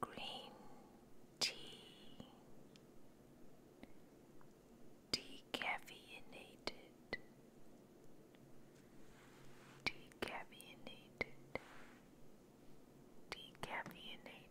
green tea, decaffeinated, decaffeinated, decaffeinated.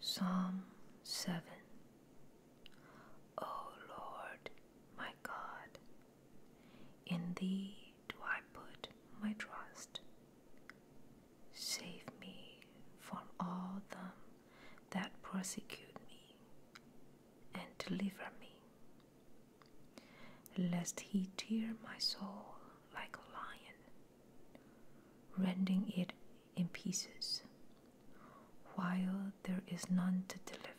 Psalm 7 O Lord, my God, in Thee do I put my trust. Save me from all them that persecute me, and deliver me, lest he tear my soul like a lion, rending it in pieces, while there is none to deliver.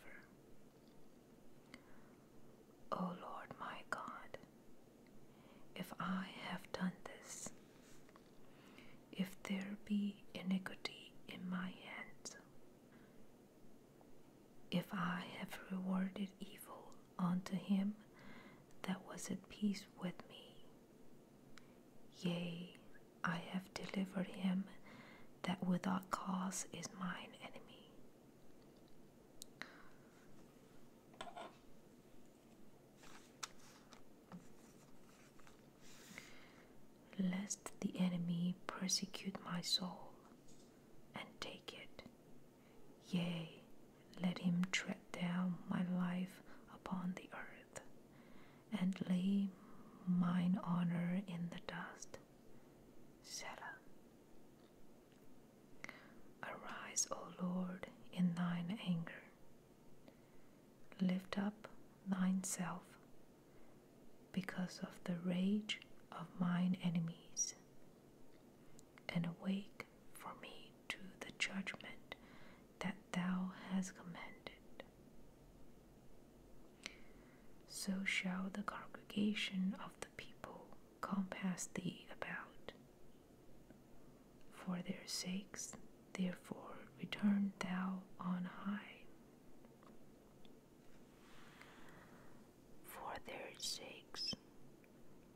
O Lord my God, if I have done this, if there be iniquity in my hands, if I have rewarded evil unto him that was at peace with me, Yea, I have delivered him that without cause is mine enemy. Lest the enemy persecute my soul and take it. Yea, let him tread down my life upon the earth, and lay mine honor in the dust. Selah. Arise, O Lord, in thine anger. Lift up thineself because of the rage of mine enemies, and awake for me to the judgment that thou hast commanded. So shall the congregation of the people compass thee about. For their sakes, therefore, return thou on high. For their sakes,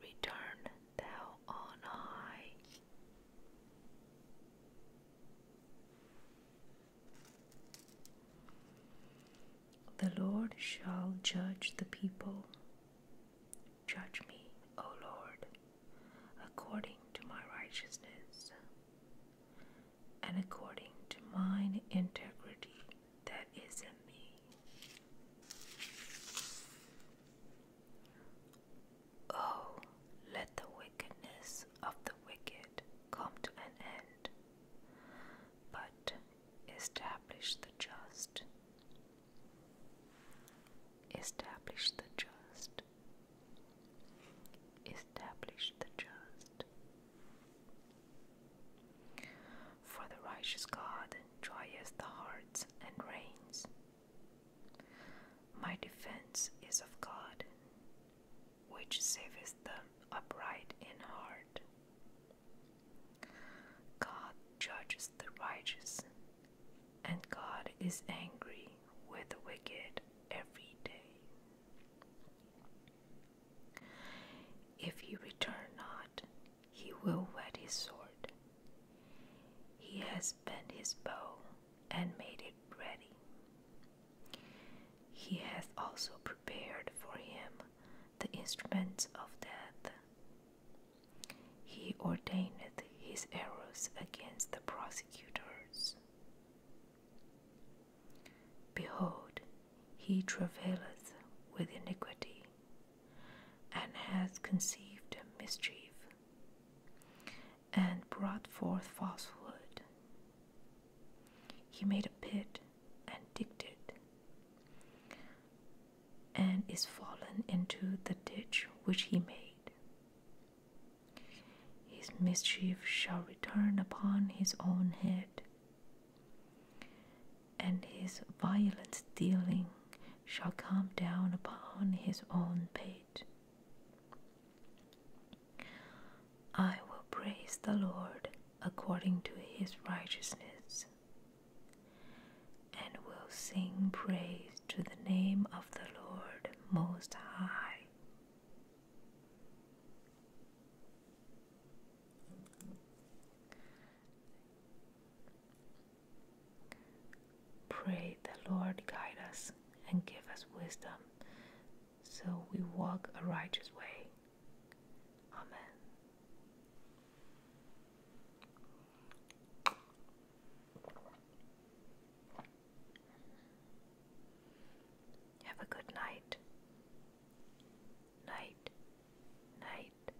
return thou on high, the Lord shall judge the people. Judge me, O Lord, according to my righteousness and according to mine integrity that is in me. Oh, let the wickedness of the wicked come to an end, but establish the just. Establish the just. Establish the just. For the righteous God joyeth the hearts and reigns. My defense is of God, which saveth them upright in heart. God judges the righteous, and God is angry with the wicked every day. If he return not, he will wet his sword. He has bent his bow and made it ready. He hath also prepared for him the instruments of death. He ordained his arrows against the prosecutors. Behold, he travaileth with iniquity, and hath conceived a mischief and brought forth falsehood. He made a pit and digged it, and is fallen into the ditch which he made. His mischief shall return upon his own head, and his violent dealing shall come down upon his own head. I will praise the Lord according to his righteousness, and will sing praise to the name of the Lord Most High. Pray the Lord guide us and give us wisdom so we walk a righteous way. Amen. Have a good night. Night. Night.